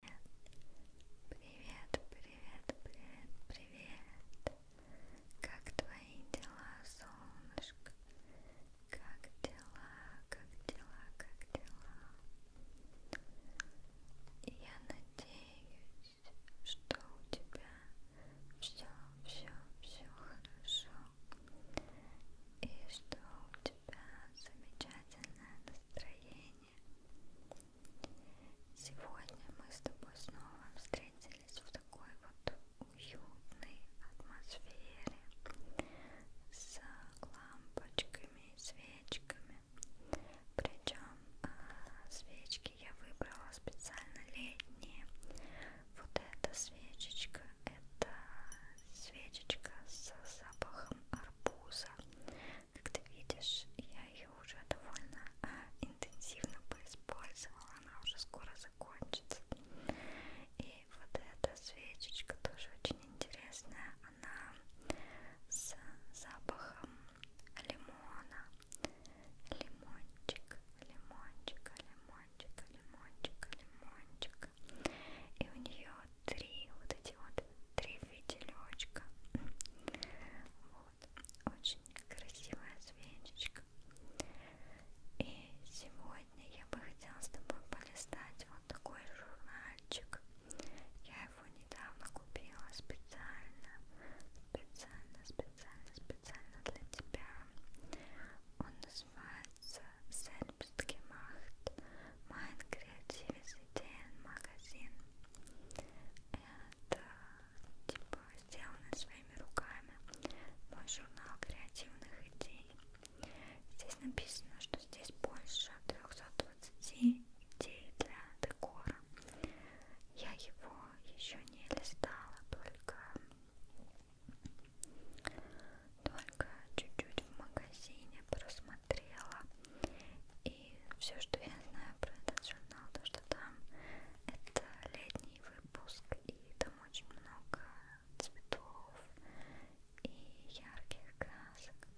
Привет, привет, привет, привет. Как твои дела, солнышко? Как дела, как дела, как дела? Я надеюсь, что у тебя все, все, все хорошо. И что у тебя замечательное настроение. Сегодня мы с тобой снова встретились в такой вот уютной атмосфере с лампочками и свечками. Причем а, свечки я выбрала специально летние. Вот эта свечечка, это свечечка с запахом арбуза. Как ты видишь, я ее уже довольно а, интенсивно поиспользовала, она уже скоро закончится. И вот эта свечечка тоже очень интересная, она с запахом лимона. Лимончик, лимончик, лимончик, лимончик, лимончик. И у нее три вот эти вот три фитилечка. Вот, очень красивая свечечка. И сегодня я бы хотела с тобой полистать вот такой журнальчик. Я его недавно купила специально, специально, специально, специально для тебя. Он называется Selbstgemacht Mind Creativity магазин. Это типа сделано своими руками. Мой журнал креативных идей. Здесь написано, что здесь больше 320 идей для декора. Я его еще не листала, только только чуть-чуть в магазине просмотрела смотрела. И все, что я знаю про этот журнал, то что там это летний выпуск, и там очень много цветов и ярких красок.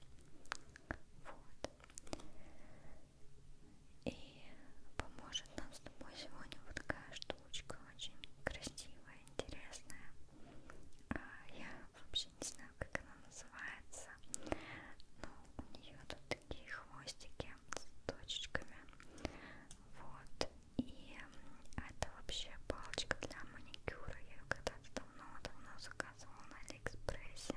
Вот. И поможет нам с тобой сегодня вот такая штучка, очень красивая, интересная. А я вообще не знаю, как она называется. Но у нее тут такие хвостики с точечками. Вот. И это вообще палочка для маникюра. Я ее когда-то давно-давно заказывала на Алиэкспрессе.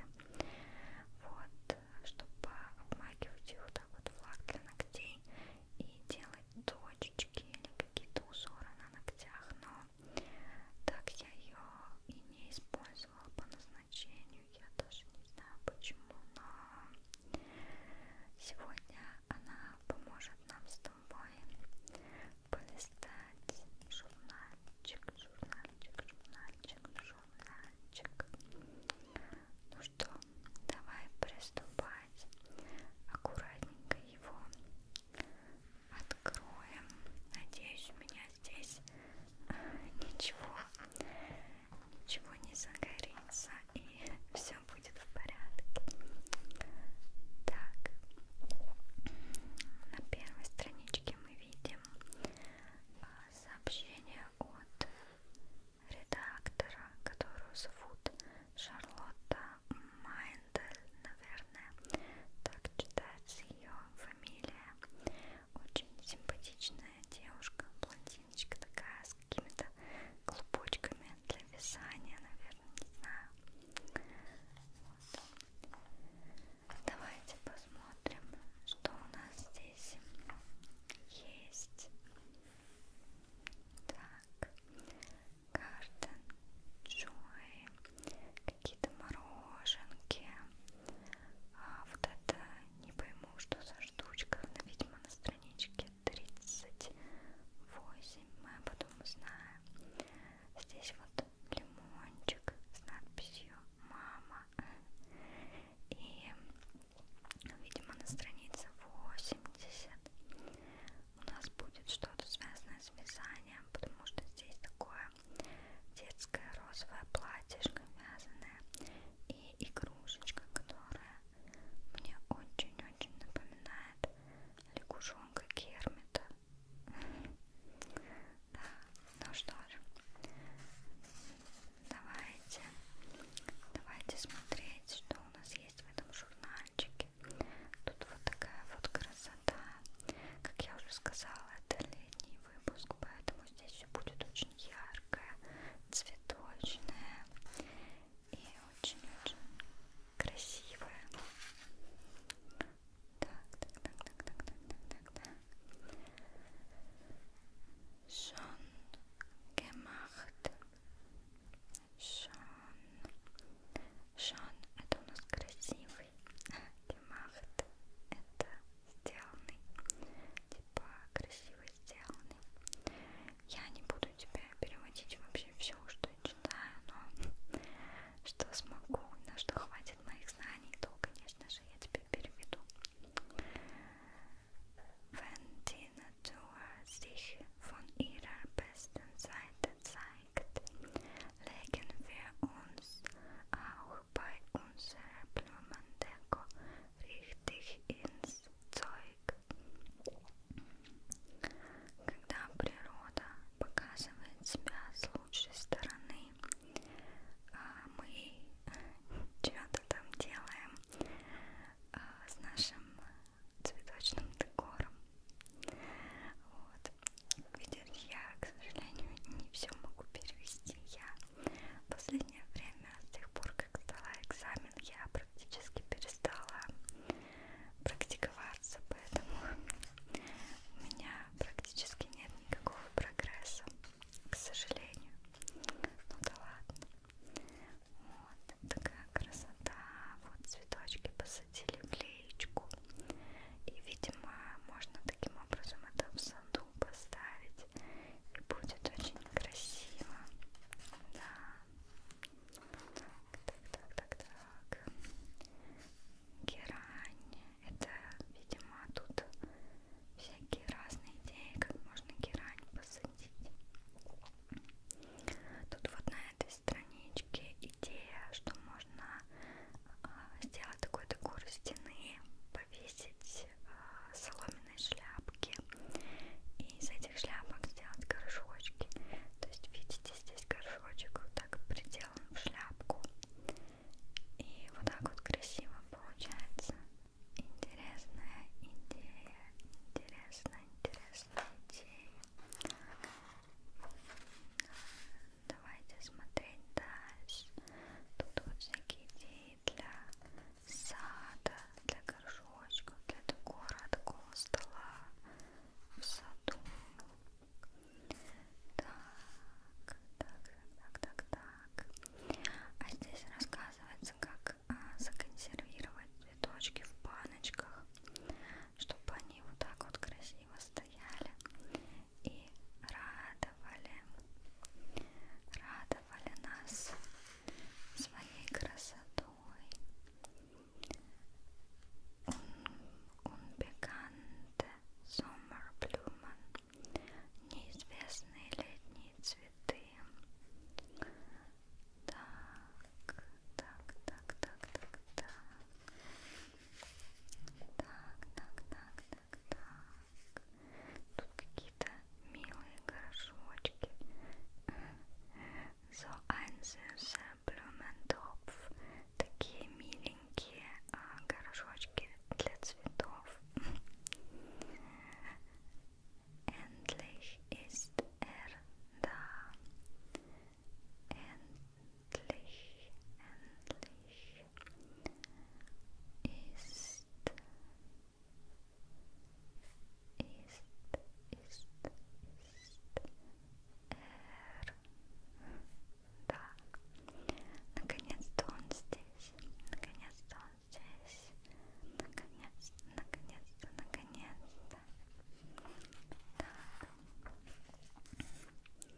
Вот, чтобы обмакивать ее вот так вот в лак для ногтей и делать точечки или какие-то узоры на ногтях. Но так я ее и не использовала по назначению. Я даже не знаю почему, но сегодня она поможет нам с тобой полистать журнальчик, журнальчик, журнальчик, журнальчик. Ну что, давай приступать. Аккуратненько его откроем. Надеюсь, у меня здесь э, ничего, ничего не загорится и все будет в порядке. Так, на первой страничке мы видим э, сообщение от редактора, которую зовут Шарлотта Майндель, наверное наверное, так читается ее фамилия. Очень симпатичная девушка, блондиночка такая, с какими-то клубочками для вязания, наверное, не знаю. Вот. Давайте посмотрим, что у нас здесь есть. Так, Garden Joy какие-то мороженки. А вот это не пойму, что за штучка. Она, видимо, на страничке 38. Мы об этом узнаем. Здесь вот лимончик с надписью «Мама». И, видимо, на странице 80 у нас будет что-то связанное с вязанием, потому что здесь такое детское розовое платьишко вязаное и игрушечка, которая мне очень-очень напоминает лягушонка Кермита. Да, ну что же, давайте, давайте смотреть, что у нас есть в этом журнальчике. Тут вот такая вот красавица да. Как я уже сказала, это летний выпуск, поэтому здесь все будет очень яркое, цветочное и очень-очень красивое. Так, так, так, так, так, так, так, так, так. Schon gemacht. Schon Шон, это у нас красивый. Гемахт, это сделанный. Типа красиво сделанный. Я не буду тебя переводить вообще все, что я читаю, но что смогу, на что хватит моих знаний, то, конечно же, я тебе переведу. Wenn die Natur sich von ihrer besten Seite zeigt, legen wir uns auch bei unserer Blumendeko richtig ins Zeug. Когда природа показывает себя с лучшей стороны, а мы что-то там делаем а, с нашим цветочным декором. Вот. Видишь, я, к сожалению, не все могу перевести. Я в последнее время, с тех пор, как сдала экзамен, я практически перестала практиковаться, поэтому у меня практически нет никакого прогресса, к сожалению. Ну да ладно. Вот такая красота. Вот цветочки посадили в лес наклеечку. И, видимо, можно таким образом это в саду поставить. И будет очень красиво. Да. Так, так, так, так. Герань. Это, видимо, тут всякие разные идеи, как можно герань посадить. Тут вот на этой страничке идея, что можно сделать такую декор стены, повесить э, соломенные шляпки и из этих шляпок сделать горшочки. То есть видите, здесь горшочек вот так приделан в шляпку. И вот так вот красиво получается. Интересная идея, интересная, интересная идея. Давайте смотреть дальше. Тут вот всякие идеи для сада, для горшочков, для декора, такого стола в саду. Так, так, так, так, так. А здесь рассказывается, как а, законсервировать цветочки в баночках, чтобы они вот так вот красиво красиво стояли и радовали, радовали нас своей красотой. Унбеканте Соммерблюмен, неизвестные летние цветы. Так, так, так, так, так, так. Так, так, так, так, так. Тут какие-то милые горшочки. So einzuse Blumentopf. Такие миленькие а, горшочки для цветов. Endlich ist er da endlich, endlich ist, ist, ist, ist er да, наконец-то он здесь, наконец-то он здесь, наконец-то, наконец-то, наконец-то. Так.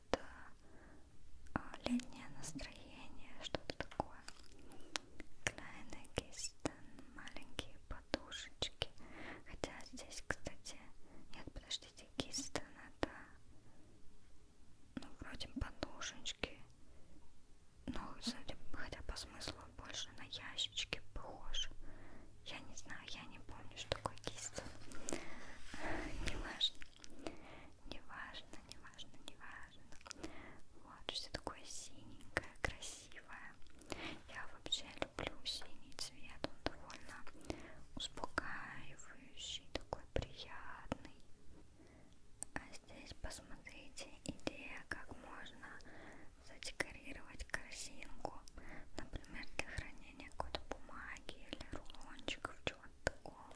какое-то а, летнее настроение, что-то такое. Kleine Kisten, маленькие подушечки. Хотя здесь, кстати, нет, подождите, Kisten это, ну, вроде подушечки, но судя, хотя по смыслу больше на ящички похож. Я не знаю, я не помню, что такое Kisten. Неважно. Неважно, неважно, неважно. Вот, все такое синенькое, красивое. Я вообще люблю синий цвет, он довольно успокаивающий, такой приятный. А здесь посмотрите, идея, как можно задекорировать корзинку, например, для хранения какой-то бумаги или рулончиков, чего вот такого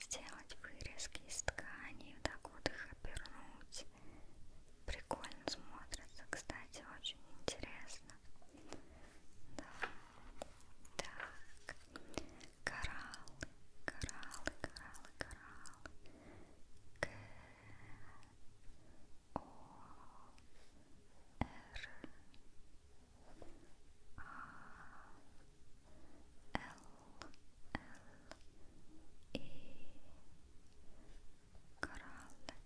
сделать вырезки из ткани вот так вот их обернуть прикольно смотрится кстати очень интересно да. так кораллы кораллы кораллы кораллы К О Р A L L E Koralle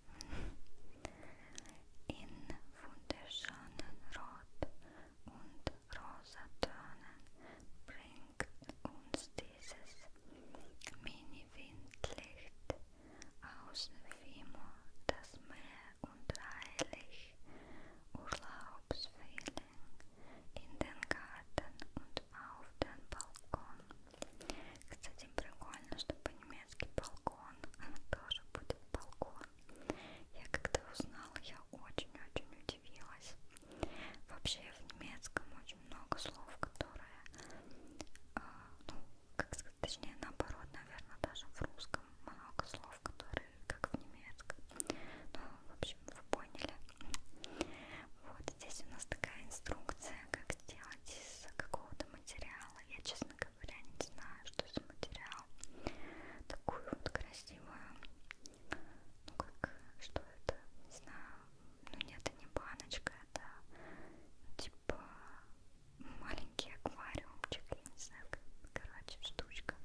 in wunderschönen Rot und rosa Tönen bringt uns dieses Mini-Windlicht aus Vimo das Meer und heilig Urlaub Obstwählen, in den Garten und auf den балкон. Кстати, прикольно, что по-немецки балкон тоже будет балкон. Я когда узнала, я очень-очень удивилась. Вообще в немецком очень много слов, которые, э, ну, как сказать, точнее наоборот, наверное, даже в русском слишком много слов, которые как в немецком. Ну, в общем, вы поняли. Вот здесь у нас такая инструкция, как сделать из какого-то материала. Я, честно говоря, не знаю, что за материал. Такую вот красивую, ну как, что это, не знаю. Ну нет, это не баночка, это типа маленький аквариумчик, я не знаю, короче, штучка.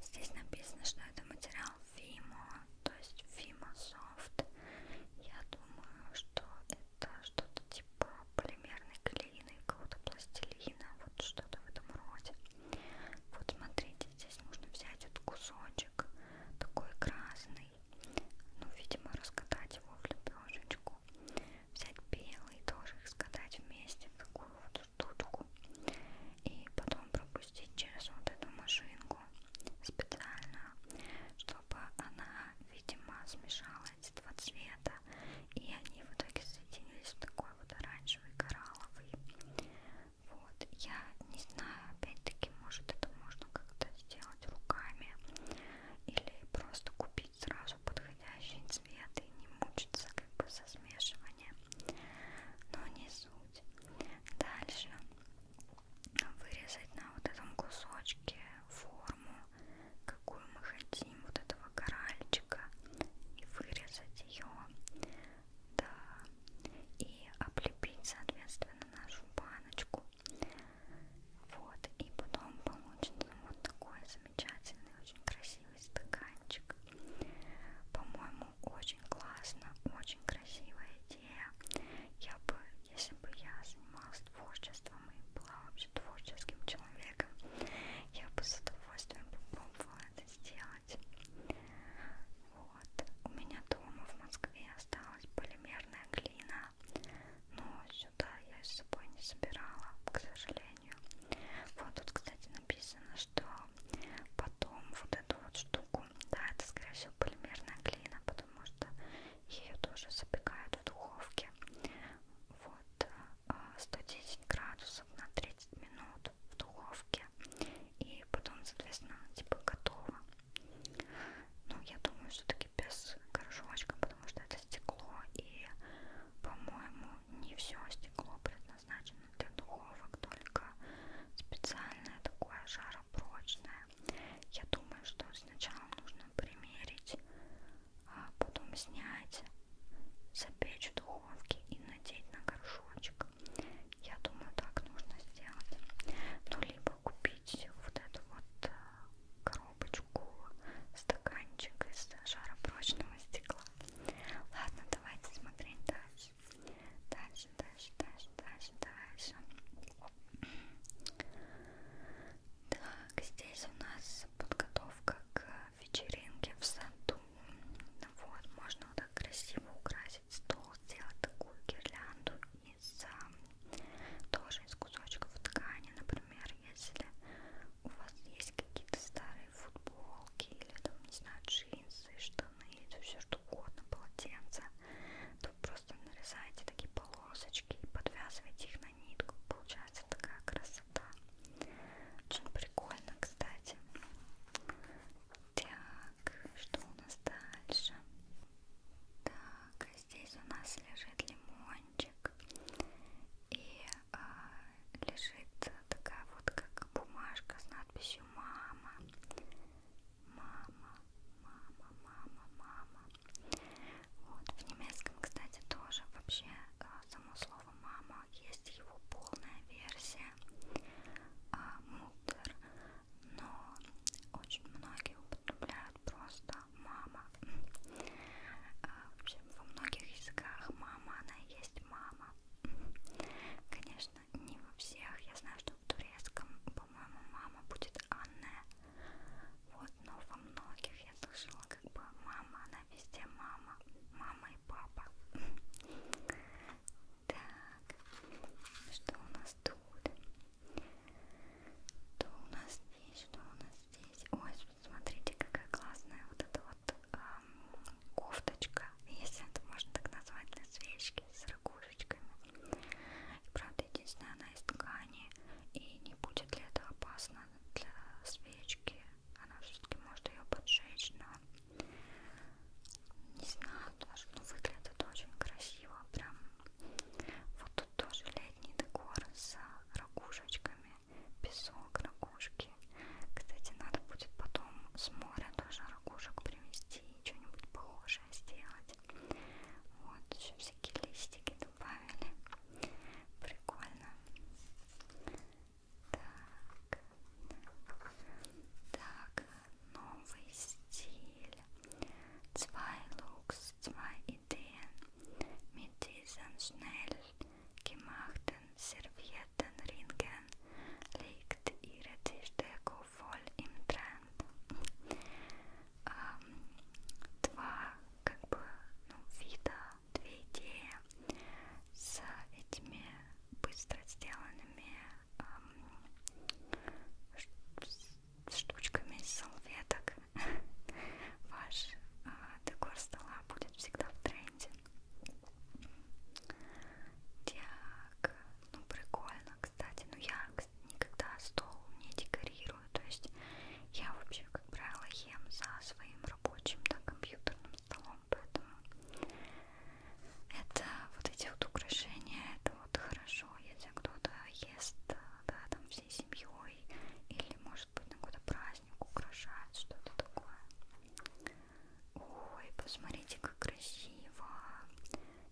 Здесь написано, что это материал Fimo, то есть Fimo Soft. Я думаю, что это что-то типа полимерной клеины, какого-то пластилина, вот что-то в этом роде. Вот смотрите, здесь нужно взять этот кусочек, такой красный, ну, видимо, раскатать его в лепешечку. Взять белый, тоже их скатать вместе в такую вот штучку и потом пропустить через вот эту машинку специальную, чтобы она, видимо, смешала эти два цвета и они в итоге соединились в такой вот оранжевый коралловый. Вот, я не знаю, опять-таки, может это можно как-то сделать руками или просто купить сразу сразу подходящий цвет и не мучиться как бы со смешиванием. Но не суть. Дальше вырезать на вот этом кусочке форму, какую мы хотим, вот этого коральчика, и вырезать ее. Да. И облепить, соответственно, нашу баночку. Вот. И потом получится вот такой замечательный, очень красивый стаканчик. По-моему, очень классно, очень красивая идея. Я бы, если бы я занималась творчеством и была вообще творческим человеком, я бы с удовольствием попробовала это сделать. Вот. У меня дома в Москве осталась полимерная глина, но сюда я с собой не собирала, к сожалению состоянию. Вот тут, кстати, написано, что потом вот эту вот штуку, да, это, скорее всего, полимерная глина, потому что ее тоже запекают в духовке. Вот 110 а, градусов на 30 минут в духовке. И потом, соответственно, типа готово. Ну, я думаю, все-таки без горшочка, потому что это стекло и по-моему, не все стекло предназначено для духовок, только специальное такое жаропрочное. Я думаю, что сначала нужно примерить, а потом снять, запечь в духовке и надеть на горшочек. Я думаю, так нужно сделать. Ну, либо купить вот эту вот э, коробочку, стаканчик из жаропрочного стекла. Ладно, давайте смотреть дальше. Дальше, дальше, дальше, дальше, дальше. Так, здесь у нас подготовка к вечеринке в саду. Вот, можно вот так красиво украсить стол, сделать такую гирлянду из а, тоже из кусочков ткани, например, если у вас есть какие-то старые футболки или там, не знаю, джинсы, штаны, или все что угодно, полотенца, то просто нарезаете такие полосочки и подвязываете их на нитку. Получается такая красота. Очень прикольно, кстати. Так, что у нас дальше? Так, а здесь у нас лежит лимон стаканчик и э, лежит такая вот как бумажка с надписью «Мама», «Мама», «Мама», «Мама», «Мама». Вот. В немецком, кстати, тоже вообще э, само слово «мама» есть его полная версия э, «мутер», но очень многие употребляют просто «мама». Э, в общем, во многих языках мама, она и есть мама. Конечно, не во всех. Я знаю, что в турецком, по-моему, мама будет Анне. Вот, но во многих я слышала, как бы мама, она везде мама, мама и папа. Так, что у нас тут? Что у нас здесь? Что у нас здесь? Ой, смотрите, какая классная вот эта вот эм, кофточка, если это можно так назвать, на свечке с ракушечками. И, правда, единственное, она из ткани, и не будет ли это опасно для свечки? Она все-таки может ее поджечь, но не знаю тоже, но выглядит очень красиво, прям вот тут тоже летний декор с ракушечками песок, ракушки. Кстати, надо будет потом с моря тоже ракушек привезти и что-нибудь похожее сделать. Вот, еще всякие листики добавили. Прикольно. Так, так, новый стиль. Zwei Looks, zwei Ideen. Mit diesen schnell gemachten Servietten ringen legt ihre Tischdeko voll im Trend. Um, два, как бы, ну, вида, две идеи с этими быстро сделанными эм, штучками из салфеток. Ваш э, декор стола будет будет всегда в тренде. Так, ну прикольно, кстати. Но ну, я никогда стол не декорирую. То есть я вообще, как правило, ем за своим рабочим да, компьютерным столом. Поэтому это вот эти вот украшения, это вот хорошо, если кто-то ест, э, да, там всей семьей, или может быть на какой-то праздник праздник украшает, что-то такое. Ой, посмотрите, как красиво.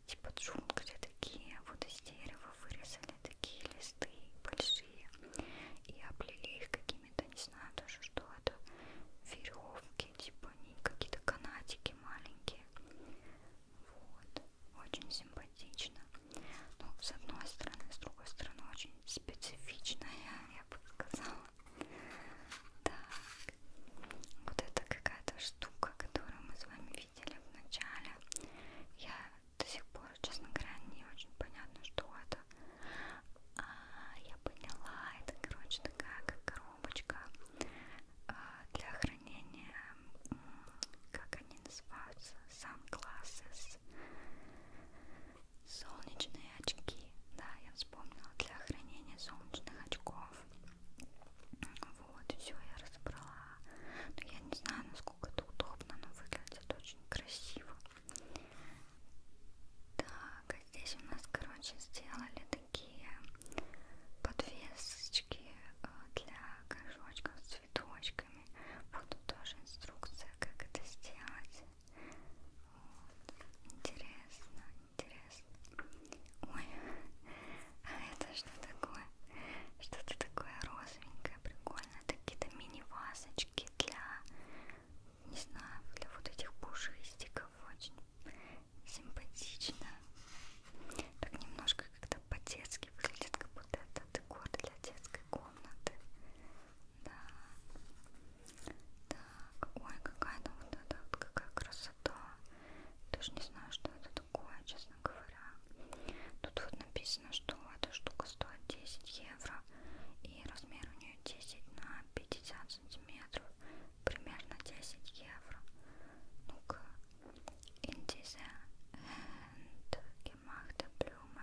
Типа джунгли такие, вот из дерева вырезали такие листы большие и облили их какими-то, не знаю даже, что это, веревки, типа они какие-то канатики маленькие. Вот, очень симпатично. Ну, с одной стороны, с другой стороны, очень очень специфичная, я бы сказала. Так, вот это какая-то штука, которую мы с вами видели в начале. Я до сих пор, честно говоря, не очень понятно, что это. А, я поняла, это, короче, такая как коробочка а, для хранения, как они называются, сам классы глаз. Солнечные очки, да, я вспомнила для хранения солнечных очков. Вот, все я разобрала. Но ну, я не знаю, насколько это удобно, но выглядит очень красиво. Так, а здесь у нас, короче, сделали такие подвесочки э, для горшочков с цветочками. Вот тут тоже инструкция, как это сделать. Интересно, интересно. Ой, а это что такое? Что-то такое розовенькое, прикольное. Это какие-то мини-вазочки для, не знаю, для вот этих пушистиков. Очень симпатично. Так немножко как-то по-детски выглядит, как будто это декор для детской комнаты. Да. Так, ой, какая-то вот эта вот какая красота. Даже не знаю, что это такое, честно говоря. Тут вот написано, что эта штука стоит 10 евро. И размер у нее 10 на 50 сантиметров. Примерно 10 евро. Ну-ка. In diese Hand gemachte Blume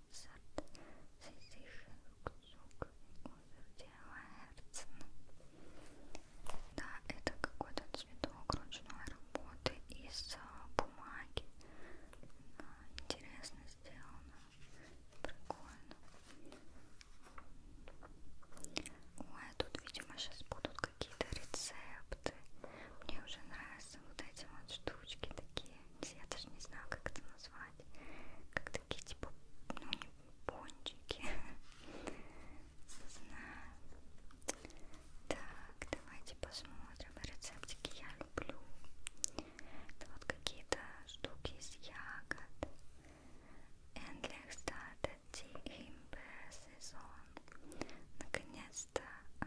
концерт Сизиши Кузук и концерт Херцена. Да, это какой-то цветок ручной работы из бумаги. Она интересно сделано. Прикольно. Ой, тут, видимо, сейчас будут какие-то рецепты. Мне уже нравятся вот эти вот штучки такие я даже не знаю, как это назвать, как такие типа, ну не пончики, не знаю. Так, давайте посмотрим рецептики. Я люблю. Это вот какие-то штуки из ягод. Endlich startet die Imbeersaison. Наконец-то а,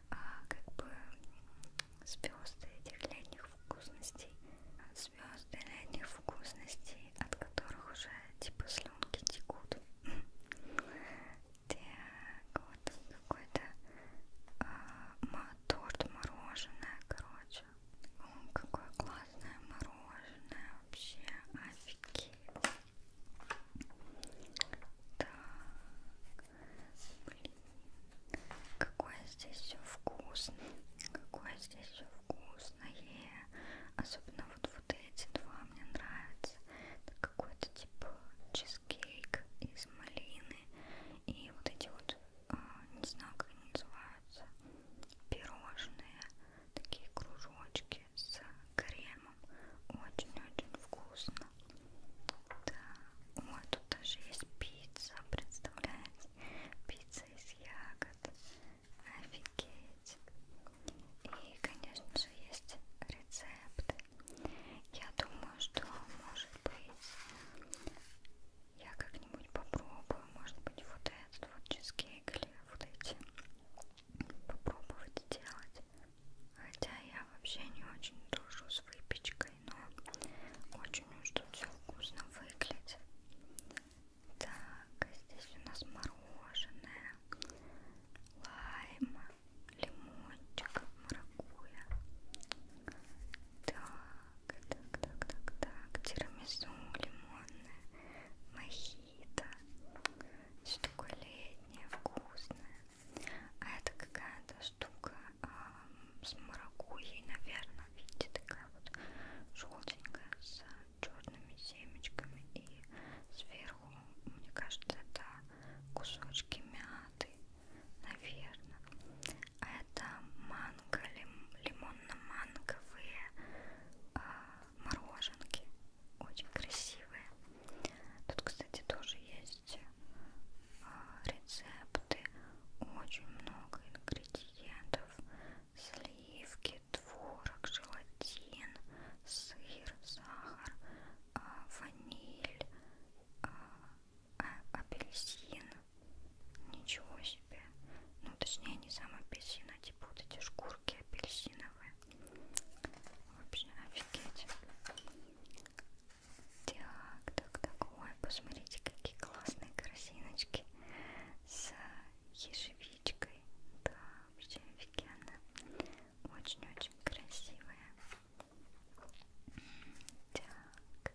а, как бы звезды этих летних вкусностей, звезды летних вкусностей, от которых уже типа слюнки текут. Так, вот какой-то а, торт мороженое, короче. О, какое классное мороженое, вообще офигеть. Так. Блин. Какое здесь все вкусное. Какое здесь все вкусное. Особенно вот, вот эти два мне нравятся. Это какой-то типа чизкейк из малины. И вот эти вот, а, не знаю как они называются, пирожные. Такие кружочки с кремом. Очень-очень вкусно. Да. Ой, тут даже есть пицца, представляете? Пицца из ягод. Офигеть. И, конечно же, есть рецепты. Я думаю, что, может быть, я как-нибудь попробую, может быть, вот этот вот чизкейк или вот эти попробовать сделать. Хотя я вообще не очень дружу с выпечкой но ну, очень уж тут все вкусно выглядит. Так, здесь у нас мороженое, лайм, лимончик, маракуйя. Так, так, так, так, так, тирамису лимонное, мохито. Все такое летнее, вкусное. А это какая-то штука э, с маракуйей, наверное, видите, такая вот желтенькая с черными семечками и сверху, мне кажется, это кусочки мяты, наверное. А это манго, лим, лимонно-манговые э, мороженки, очень красивые. Тут, кстати, тоже есть э, рецепт продукты, очень много ингредиентов, сливки, творог, желатин, сыр, сахар, а, ваниль, а, а, апельсин, ничего себе, ну точнее не сам апельсин, а типа вот эти шкурки апельсиновые, вообще офигеть. Так, так, так. Ой, посмотрите, какие классные корзиночки с ежевичкой. Да, вообще офигенно. Очень-очень красивая. Так.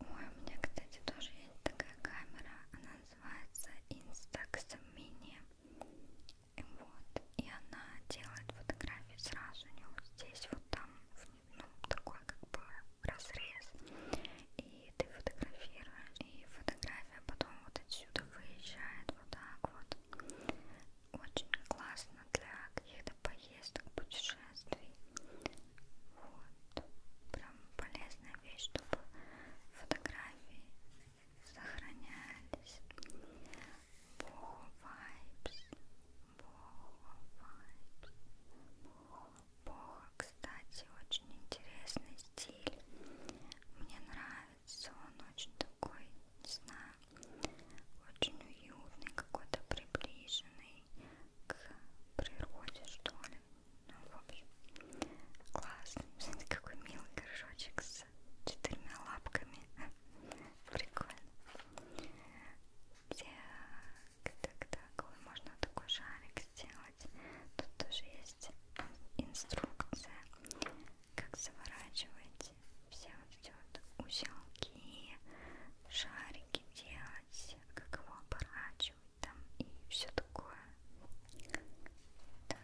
Ой, у меня, кстати, тоже есть такая камера. Она называется Instax Mini. Вот. И она делает фотографии сразу, у нее здесь вот там ну, такой как бы разрез и ты фотографируешь и фотография потом вот отсюда выезжает вот так вот очень классно для каких-то поездок путешествий вот прям полезная вещь чтобы фотографии сохранялись More vibes. More vibes. Бога, кстати, очень интересный стиль. Мне нравится. Он очень такой, не знаю, очень уютный, какой-то приближенный к природе, что ли. Ну, в общем, классный. Смотрите, какой милый горшочек с четырьмя лапками. Прикольно. Так, так, так. Ой, можно такой шарик сделать. Тут тоже есть инструкция, как заворачивать все вот эти вот узелки, шарики делать, как его оборачивать там и все такое. Так,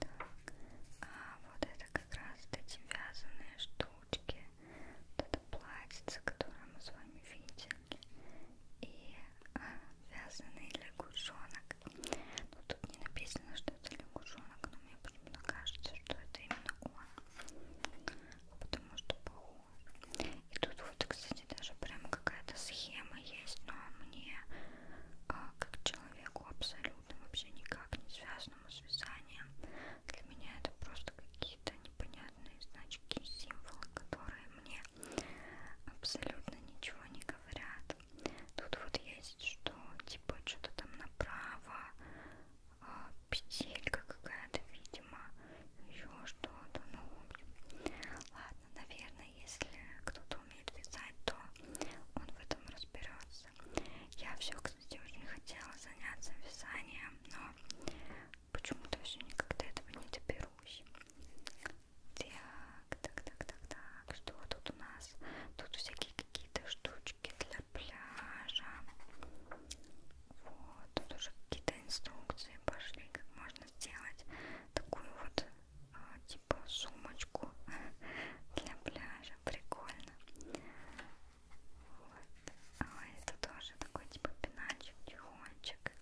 так. А вот это это как раз эти вязаные штучки, вот это платьице, которое мы с вами видели, и а, вязаный лягушонок. Но ну, тут не написано, что это лягушонок, но мне почему-то кажется, что это именно он, потому что похож. И тут вот, кстати, даже прям какая-то схема есть, но мне а, как человеку абсолютно вообще никак не связано красным связанием. Для меня это просто какие-то непонятные значки и символы, которые мне абсолютно ничего не говорят. Тут вот есть что, типа что-то там направо, а, петелька какая-то, видимо, еще что-то, ну, ладно, наверное, если кто-то умеет вязать, то он в этом разберется класса. Я все, кстати, очень хотела заняться вязанием, но почему-то все никогда этого не доберусь. Так, так, так, так, так. Что тут у нас? Тут всякие какие-то штучки для пляжа. Вот, тут уже какие-то инструкции пошли, как можно сделать такую вот а, типа сумочку для пляжа тоже прикольно. Вот. А это тоже такой типа пеначик, тихончик.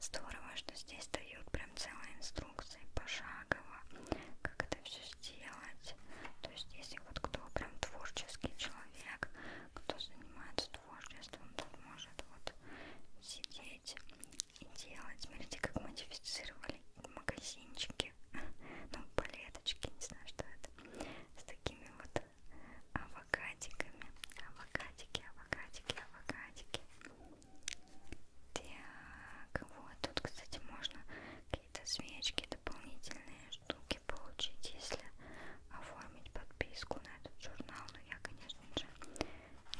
Здорово, что здесь дают прям целые инструкции пошагово, как это все сделать. То есть, если вот кто прям творческий человек, кто занимается творчеством, тот может вот сидеть и делать. Смотрите, как модифицировали магазинчики палочки, ну палеточки, не знаю, что это, с такими вот авокадиками, авокадики, авокадики, авокадики. Так, вот тут, кстати, можно какие-то свечки, дополнительные штуки получить, если оформить подписку на этот журнал, но я, конечно же,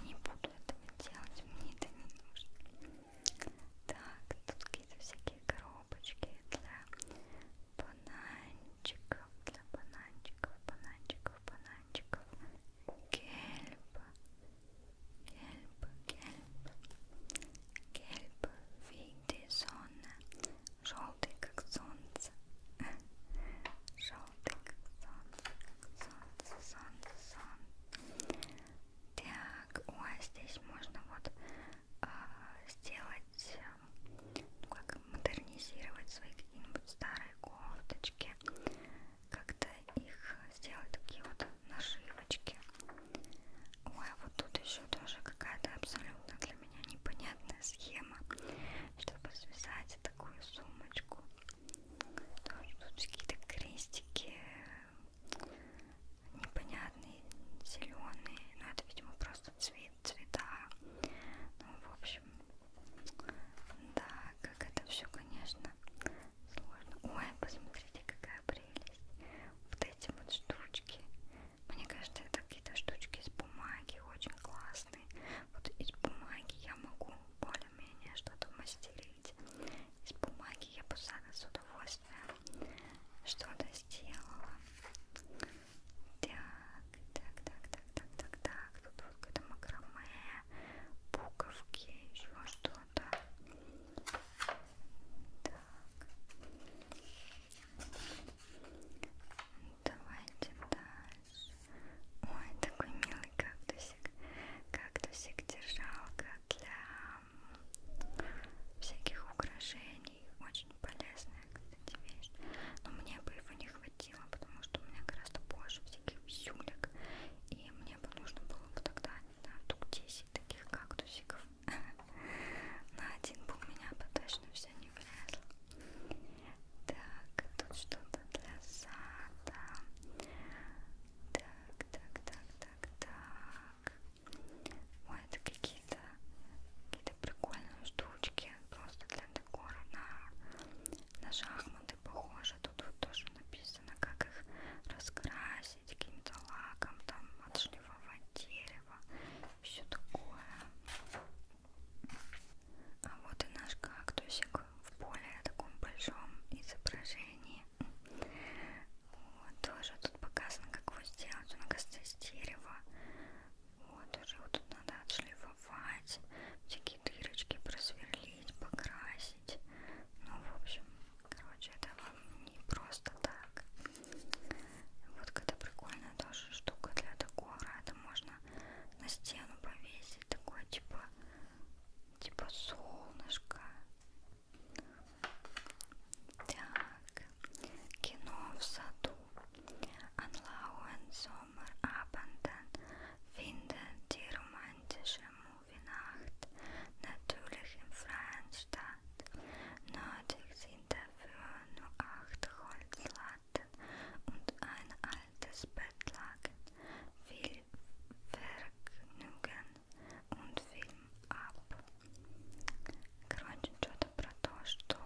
не буду этого делать, мне это не нужно. Так, тут какие-то всякие коробочки для бананчиков, для бананчиков, бананчиков, бананчиков. Гельб, гельб, гельб, гельб в виде зона, желтый как солнце, желтый как солнце, как солнце, солнце, солнце. Так, ой, а здесь можно вот а, сделать, ну, как модернизировать свои какие-нибудь старые кофточки, как-то их сделать такие вот нашивочки. Ой, а вот тут еще тоже какая-то абсолютно для меня непонятная схема, чтобы связать такую сумочку. Тоже тут какие-то крестики, непонятные, зеленые, но это, видимо, просто цвет, цвета. Ну, в общем, да, как это все, конечно, сложно. Ой, посмотрите, какая прелесть. Вот эти вот штучки. Мне кажется, это какие-то штучки из бумаги, очень классные. Вот из бумаги я могу более-менее что-то мастерить. Из бумаги я бы сада с удовольствием уже что-то сделала. Так, так, так, так, так, так, так. Тут вот какое-то макраме, буковки, еще что-то. Так. Давайте дальше. Ой, такой милый кактусик. Кактусик держалка для всяких украшений. Очень полезная, кстати, вещь. Но мне бы его не хватило, потому что у меня гораздо больше всяких висюлек. И мне бы нужно было бы тогда, не знаю, тук 10 таких кактусиков. На один бы у меня бы точно все не влезло. Так, тут что-то для сада. Так, так, так, так, так. Ой, это какие-то какие-то прикольные штучки просто для декора на, на шахматы похоже. Тут вот тоже написано, как их раскрасить каким-то лаком, там отшлифовать дерево, все такое. А вот и наш кактусик в более таком большом изображении. Вот, тоже тут показано, как его сделать. Он, кажется, из дерева. Вот, уже вот тут надо отшлифовать, всякие дырочки просверлить, покрасить. Ну, в общем, короче, это вам не просто так. Вот какая-то прикольная тоже штука для декора. Это можно на стену повесить. Такое, типа, типа солнышко. Так, кино в саду. An lauen Sommerabenden finden die romantische Movienacht natürlich im Freien statt. Nötig sind dafür nur acht Holzlatten und ein altes Bettlaken. Viel Vergnügen и фильм Up. Короче, что-то про то, что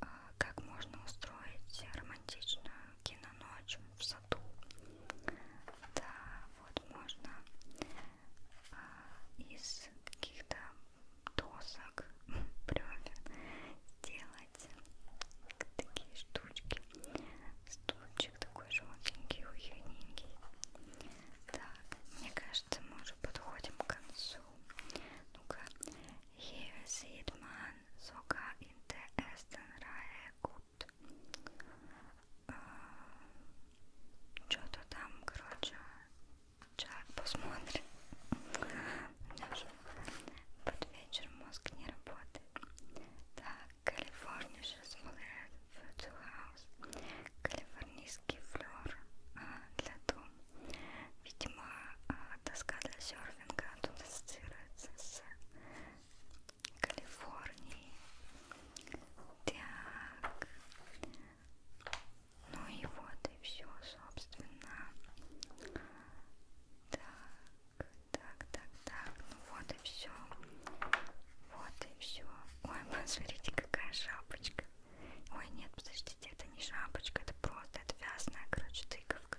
э, как можно устроить романтичную киноночь в саду. Да, вот можно э, из каких-то досок бревен сделать такие штучки. Стульчик такой желтенький, уютненький. Так, мне кажется, мы уже подходим к концу. Ну-ка. Here sit man, soka in the eastern good. А, что-то там, короче, человек посмотрит. Под вечер мозг не работает. Так, Калифорния сейчас Photo House. Калифорнийский флер а, для дома. Видимо, а, доска для серфинга тут ассоциируется с Калифорнией. Так. Ну и вот и все, собственно. Так, так, так, так. Ну вот и все. Вот и все. Ой, посмотрите, какая шапочка. Ой, нет, подождите, это не шапочка, это просто отвязная, короче, тыковка.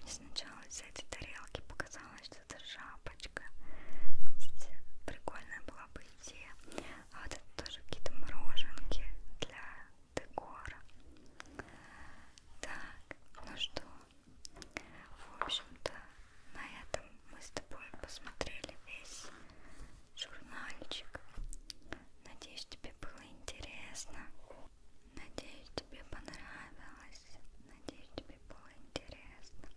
Мне сначала из этой тарелки показалось, что это шапочка. Видите, прикольная была бы идея. А вот это тоже какие-то мороженки для декора. Так, ну что, в общем-то, на этом мы с тобой посмотрели весь журнальчик. Надеюсь, тебе было интересно. Надеюсь, тебе понравилось. Надеюсь, тебе было интересно.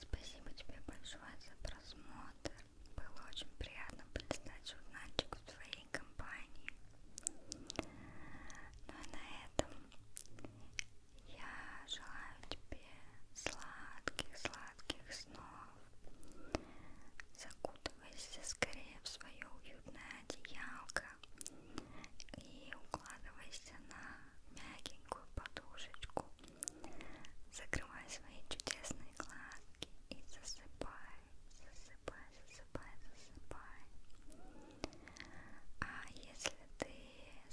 Спасибо тебе большое за просмотр. Было очень приятно прочитать журнальчик в твоей компании. Ну а на этом я желаю тебе сладких-сладких снов. Закутывайся скорее в свое уютное одеялко и укладывайся на мягенькую подушечку. Закрывай свои чудесные глазки и засыпай, засыпай, засыпай, засыпай. А если ты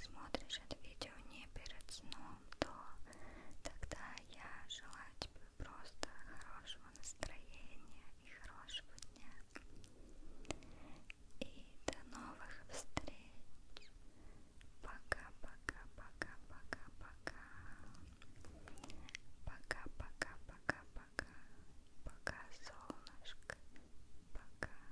смотришь это видео не перед сном, то тогда я желаю тебе просто хорошего настроения и хорошего дня. И до новых встреч. Пока-пока-пока-пока-пока. Пока-пока-пока-пока. Пока, солнышко. Пока.